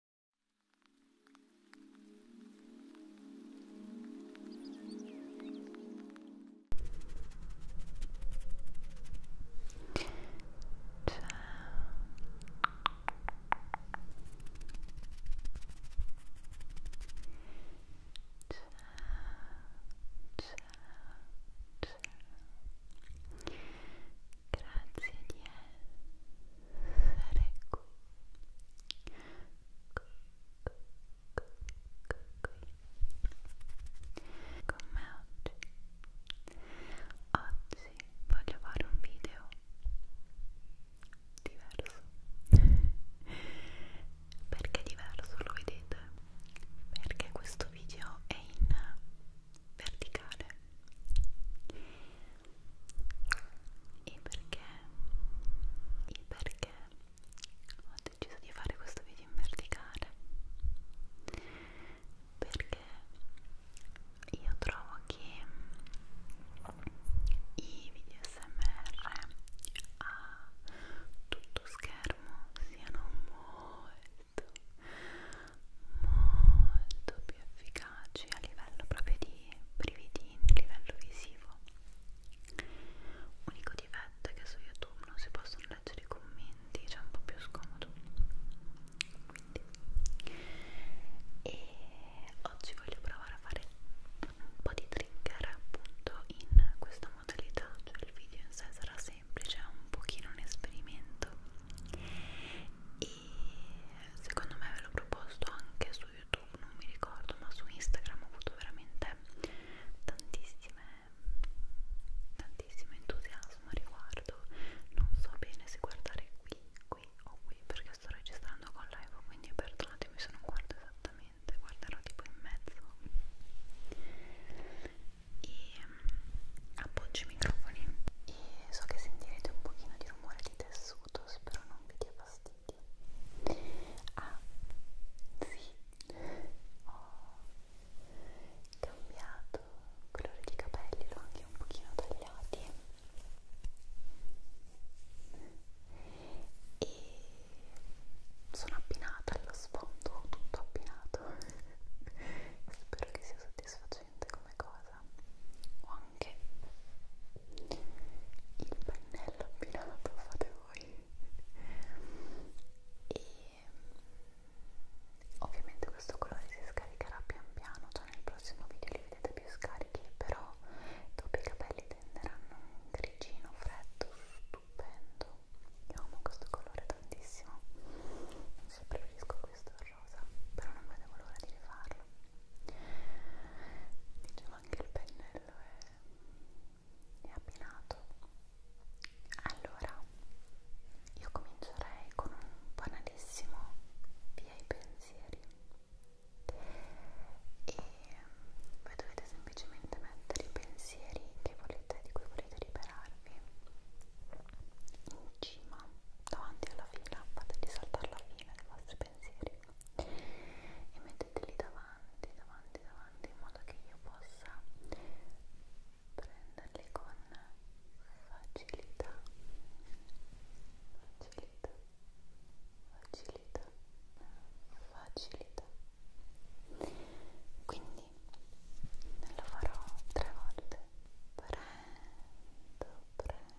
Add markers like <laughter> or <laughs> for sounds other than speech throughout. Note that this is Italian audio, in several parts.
grazie di stare qui, qui, qui, qui, qui, con me oggi. Oggi voglio fare un video eh, diverso. <laughs> Perché diverso lo vedete? Perché questo video è in verticale e perché e perché ho deciso di fare questo video in verticale perché io trovo che i video smr a tutto schermo siano molto molto più efficaci a livello proprio di brividini, a livello visivo. Unico difetto è che su YouTube non si possono leggere i commenti, c'è un po' più scomodo. Quindi. E oggi voglio provare a fare un po' di trigger appunto in questa modalità, cioè il video in sé sarà semplice, è un pochino un esperimento e secondo me ve l'ho proposto anche su YouTube, non mi ricordo, ma su Instagram ho avuto veramente tantissime, tantissimo entusiasmo a riguardo. Non so bene se guardare qui, qui o qui, perché sto registrando con l'iPhone, quindi perdonatemi se non guardo esattamente, guarderò tipo in mezzo. E mm, appoggio i microfoni e so che sentirete un pochino di rumore di testa tessuto, spero non vi dia fastidio. Ah, sì, ho cambiato colore di capelli, l'ho anche un pochino tagliati e sono appinata allo sfondo, tutto appinato. <laughs> Spero che sia soddisfacente piacente come cosa o anche il pennello abbinato fate voi e mm, ovviamente questo colore si scaricherà pian piano cioè nel prossimo video li vedete più scarichi però dopo i capelli tenderanno un grigino freddo stupendo io amo questo colore tantissimo non so preferisco questo al rosa però non vedevo l'ora di rifarlo Dicevo anche il pennello è, è abbinato. Allora, io comincerei con un banalissimo via i pensieri e voi dovete semplicemente mettere i pensieri che volete, di cui volete liberarvi in cima davanti alla fila, fategli saltare la fila dei vostri pensieri e metteteli davanti, davanti, davanti in modo che io possa prenderli con facilità, facilità, facilità, facilità. Quindi lo farò tre volte. Prendo, prendo.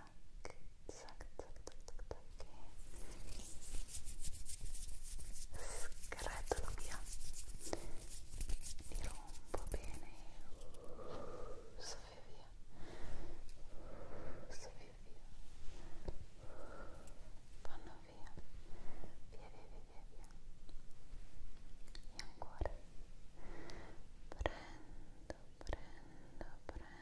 tac, tac, tac, tac, tac e scretolo via li rompo bene e soffio via soffio via vanno via via via via via via e ancora prendo, prendo, prendo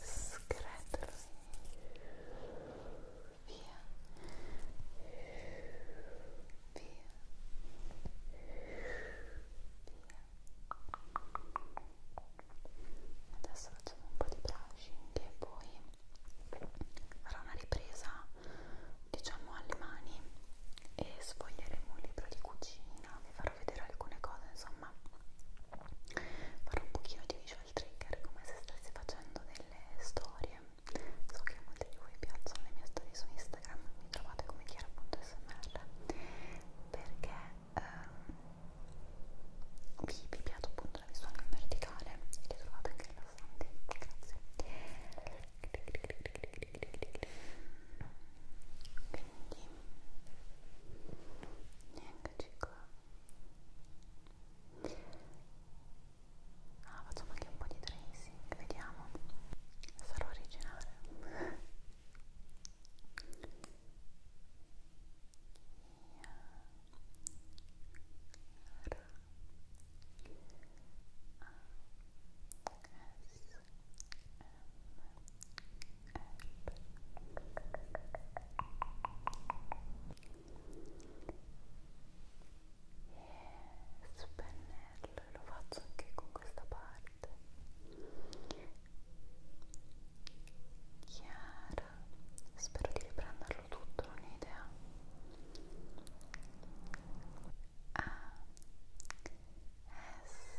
scretolo via via via adesso facciamo un po' di brushing e poi farò una ripresa diciamo alle mani e sfoglieremo un libro di cucina vi farò vedere alcune cose insomma farò un pochino di visual trigger come se stessi facendo delle storie so che a molti di voi piacciono le mie storie su Instagram mi trovate come chiara.smr perché ehm, vi, vi piace appunto la visuale in verticale e li trovate anche rilassanti grazie quindi eccoci qua ah, facciamo anche un po' di tracing vediamo sarò originale S, S, spennello e lo faccio anche con questa parte chiara spero di riprenderlo tutto non ho idea a s m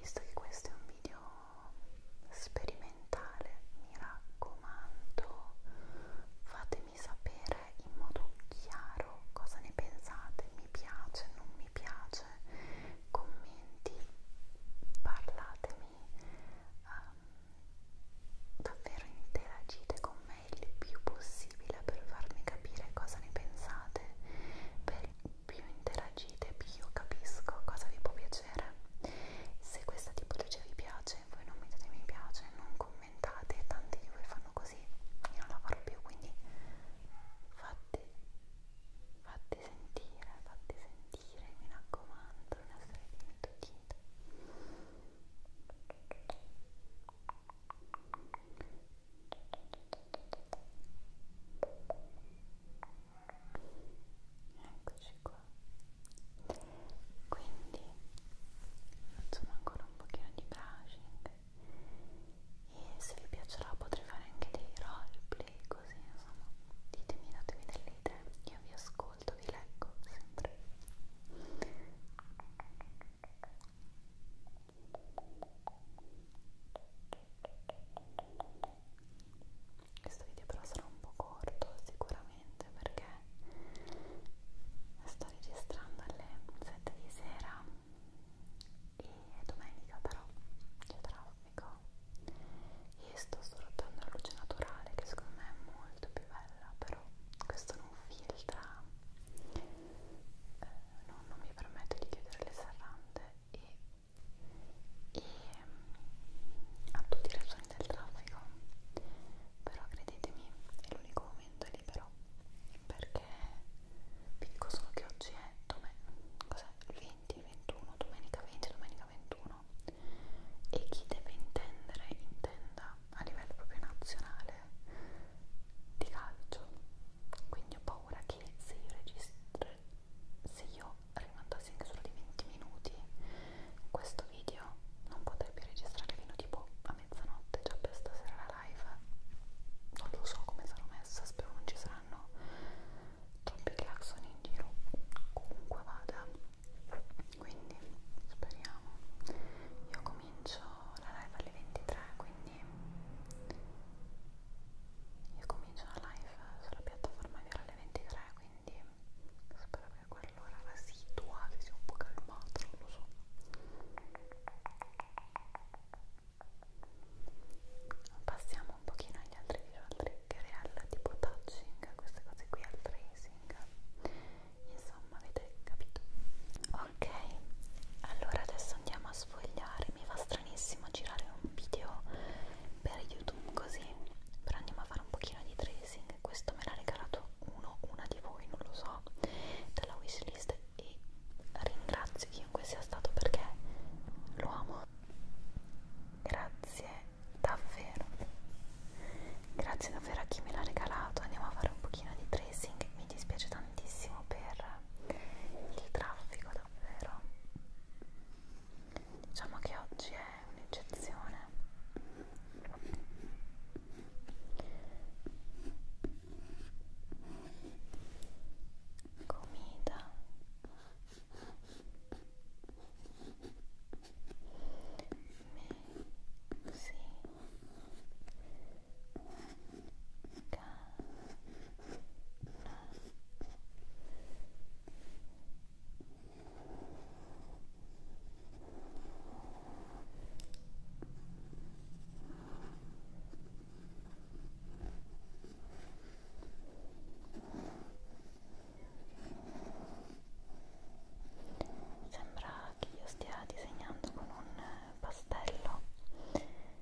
Visto che questo è un video sperimentale, mi raccomando, fatemi sapere in modo chiaro cosa ne pensate, mi piace, non mi piace, commenti, parlatemi, um, davvero interagite con me il più possibile per farmi capire cosa ne pensate. Per più interagite, più io capisco cosa vi può piacere. Se questa tipologia vi piace, voi non mettete mi piace, non commentate, tanti di voi fanno così, io non la farò più, quindi fate, fate sentire, fate sentire, mi raccomando, non essere dimenticate. Grazie eccoci qua quindi facciamo ancora un pochino di brushing e se vi piacerà potrei fare anche dei roleplay così insomma ditemi datemi delle idee io vi ascolto vi leggo sempre ok questo video però sarà un po' corto sicuramente perché sto registrando alle 7 di sera e domenica però c'è traffico e sto sfruttando la luce naturale che secondo me è molto più bella però questo non filtra eh, non, non mi permette di chiudere le serrande e e mm, a tutti i ragioni del traffico però credetemi è l'unico momento libero perché vi dico solo che oggi è cos'è? 20, 21, domenica 20, domenica 21 e chi deve intendere intenda a livello proprio nazionale di calcio quindi ho paura che se io registro se io rimandassi anche solo di 20 minuti questo video non potrei più registrare fino tipo a mezzanotte già per stasera la live non lo so come sarò messa spero non ci saranno troppi claxoni in giro comunque vada quindi speriamo io comincio la live alle 23 quindi io comincio la live sulla piattaforma di alle 23, quindi spero che quell'ora residua si sia un po' calmata, non lo so. Passiamo un pochino agli altri visual trigger e al tipo touching, queste cose qui, al tracing. Insomma, avete capito? Ok, allora adesso andiamo a sfogliare girare, mi fa stranissimo girare un video per YouTube così, però andiamo a fare un pochino di tracing, questo me l'ha regalato uno, una di voi, non lo so, dalla wishlist e ringrazio chiunque sia stato perché lo amo. Grazie davvero, grazie davvero a chi me l'ha regalato, andiamo a fare un pochino di tracing, mi dispiace tantissimo per il traffico davvero diciamo che oggi è un'eccezione comida me si Sembra che io stia disegnando con un eh, pastello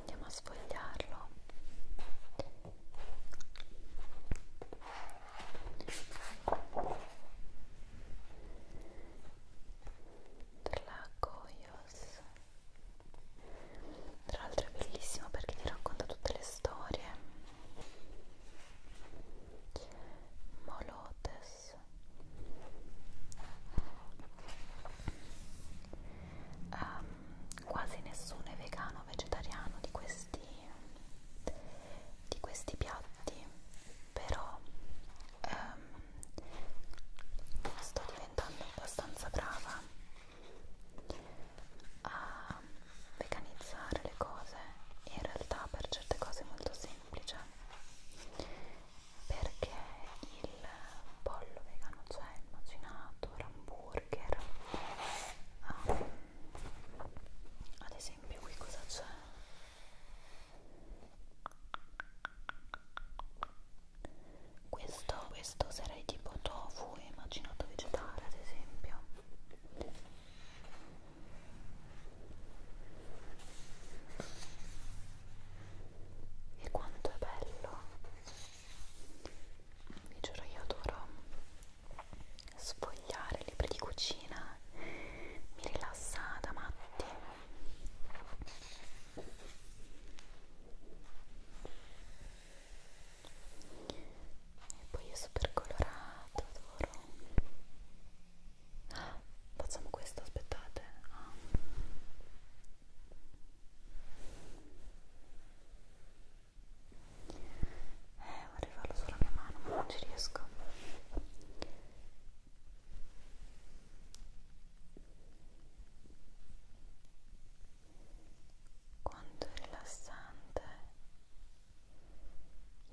Andiamo a sfogliarlo. Tlacoyos. Tra l'altro è bellissimo perché ti racconta tutte le storie Molotes um, quasi nessuno è vegano o vegetariano di questi, di questi piatti però um, sto diventando abbastanza brava a veganizzare le cose e in realtà per certe cose è molto semplice perché il pollo vegano c'è cioè il macinato, l'hamburger um, ad esempio qui cosa c'è? Questo, questo sarei tipo tofu e macinato vegetale ad esempio e quanto è bello! Vi giuro, io adoro sfogliare libri di cucina, mi rilassa da matti e poi è super colorato adoro ah, facciamo questo aspettate ah. eh vorrei farlo sulla mia mano ma non ci riesco quanto è rilassante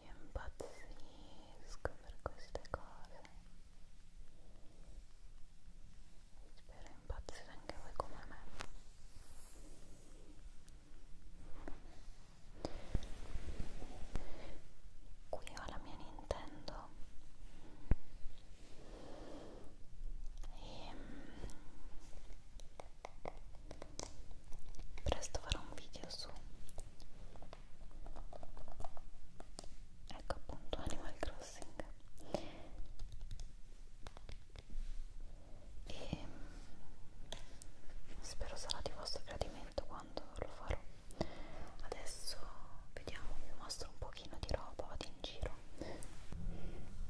io impazzisco per queste cose. Spero impazzire anche voi come me. Qui ho la mia Nintendo e ehm, presto farò un video su ecco appunto Animal Crossing e mm, spero sarà di vostro gradimento quando lo farò adesso vediamo vi mostro un pochino di roba vado in giro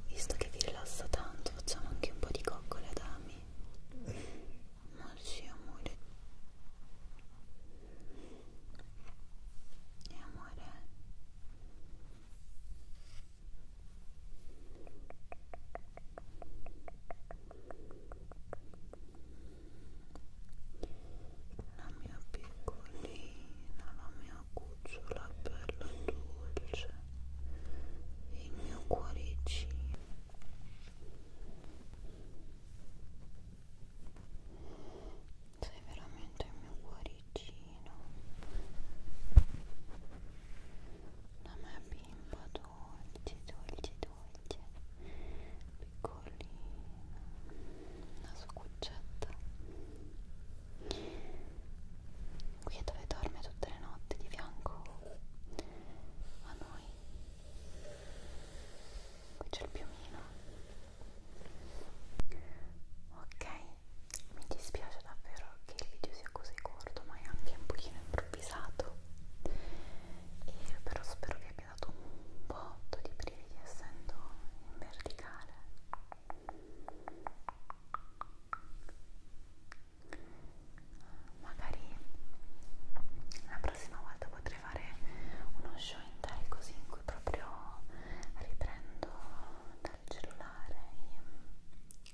visto che vi rilassa tanto facciamo anche un po' di coccole ad ami ma sì, amore. E amore. La mia piccolina, la mia cucciola bella dolce il mio cuoricino sei veramente il mio cuoricino la mia bimba dolce dolce dolce piccolina la sua cuccetta qui è dove dorme tutte le notti di fianco a noi qui c'è il piumino ok mi dispiace davvero che il video sia così corto ma è anche un pochino improvvisato e però spero vi abbia dato un botto di brividi essendo in verticale magari la prossima volta potrei fare uno show intero così in cui proprio riprendo dal cellulare e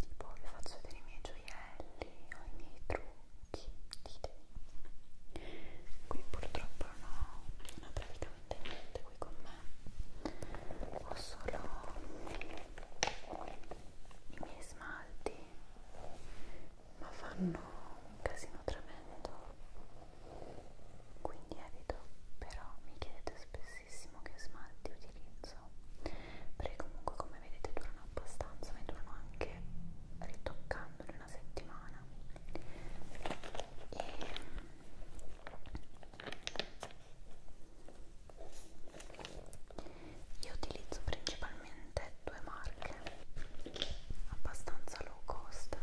tipo vi faccio vedere i miei gioielli o i miei trucchi qui purtroppo non ho, non ho praticamente niente qui con me ho solo i miei smalti ma fanno un casino tremendo quindi evito però mi chiedete spessissimo che smalti utilizzo perché comunque come vedete durano abbastanza ma durano anche ritoccandoli una settimana e io utilizzo principalmente due marche abbastanza low cost.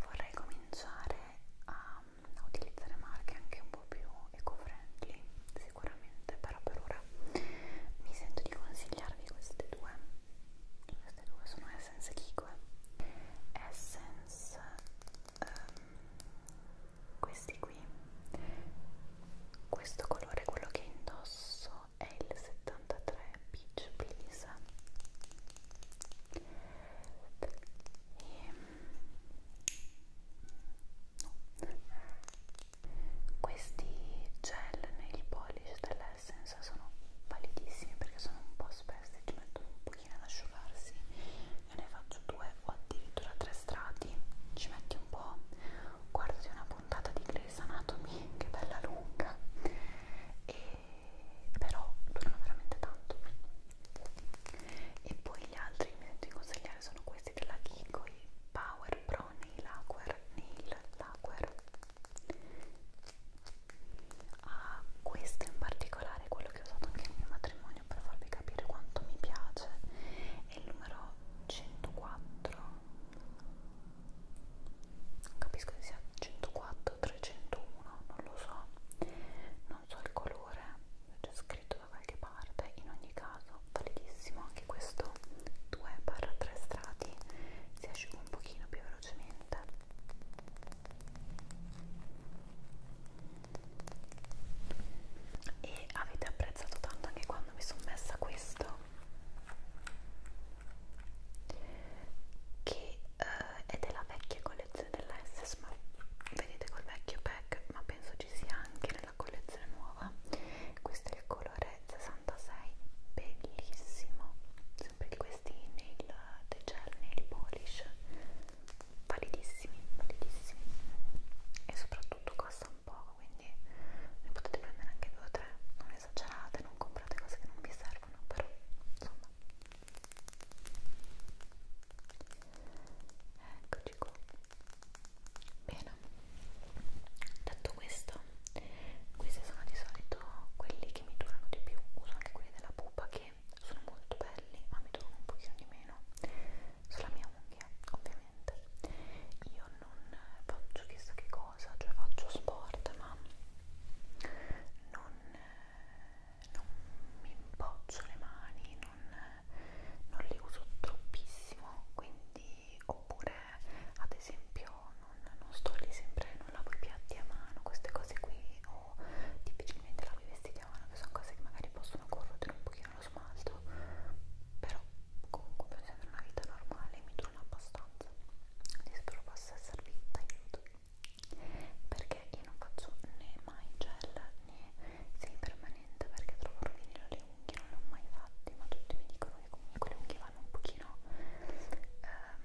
Vorrei cominciare a, a utilizzare marche anche un po' più eco-friendly, sicuramente, però per ora mi sento di consigliarvi queste due. Queste due sono Essence Kiko Essence um, questi qui questo colore quello che indosso è il 73 Peach Please e no. questi gel nel polish dell'essence sono validissimi perché sono un po' spessi ci mettono un pochino ad asciugarsi io ne faccio due o addirittura tre strati ci metti un po' guardati una puntata di Grey's Anatomy che bella lunga e però durano veramente tanto e poi gli altri che mi sento di consigliare sono questi della Kiko i Power Pro Nail Lacquer Nail Lacquer a ah, questo in particolare quello quello che ho usato anche nel mio matrimonio per farvi capire quanto mi piace è il numero 104 non capisco se sia 104 301 non lo so non so il colore c'è scritto da qualche parte in ogni caso validissimo anche questo 2 3 strati si asciuga un pochino più velocemente e avete apprezzato tanto anche quando mi sono messa questo che eh, è della vecchia collezione della SS ma vedete col vecchio pack ma penso ci sia anche nella collezione nuova questo è il colore 66 bellissimo sempre di questi nail, the gel nail polish validissimi, validissimi e soprattutto costa un poco, quindi ne potete prendere anche due o tre, non esagerate, non comprate cose che non vi servono, però insomma eccoci qua bene detto questo questi sono di solito quelli che mi durano di più uso anche quelli della pupa che sono molto belli ma mi trovano un pochino di meno sulla mia unghia ovviamente io non faccio chissà che cosa cioè faccio sport ma non, non mi impoccio le mani non, non le uso troppissimo quindi oppure ad esempio non, non sto lì sempre non lavo i piatti a mano queste cose qui ho o difficilmente lavi i vestiti a mano che sono cose che magari possono corrodere un pochino lo smalto però comunque per sempre una vita normale mi dura abbastanza quindi spero possa esservi d'aiuto perché io non faccio né mai gel né semipermanente perché trovo rovinino le unghie non le ho mai fatte ma tutti mi dicono che comunque le unghie vanno un pochino ehm,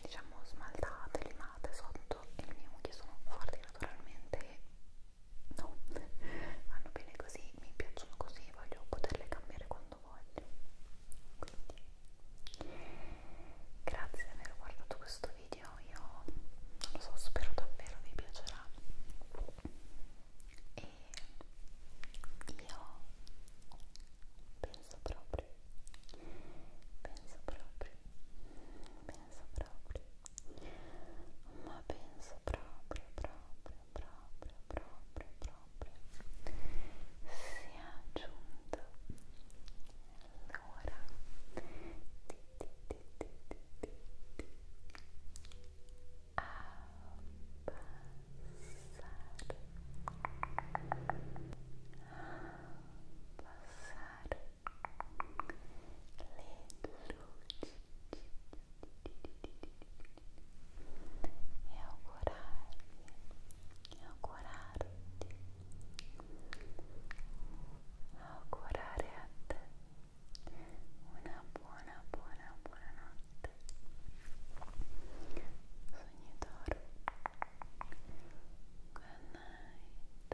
diciamo smaltate, limate sotto e le mie unghie sono forti naturalmente e no, vanno bene così, mi piacciono così, voglio poterle cambiare quando voglio. Quindi, grazie di aver guardato questo video, io non lo so, spero davvero vi piacerà. E io penso proprio, penso proprio, penso proprio ma penso proprio, proprio, proprio, proprio, proprio sia giunto l'ora di, di, di, di, di, di abbassare abbassare e augurarvi e augurarti augurare a te una buona buona buona notte sognatore good night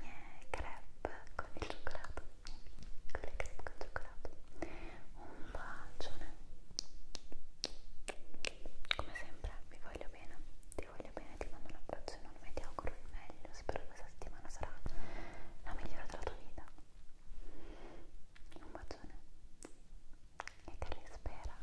miei crepe con il cioccolato, con le crepe con il cioccolato. Un bacione. Come sempre, vi voglio bene, ti voglio bene, ti mando un abbraccio enorme, ti auguro il meglio. Spero che questa settimana sarà la migliore della tua vita. Un bacione e te li spera.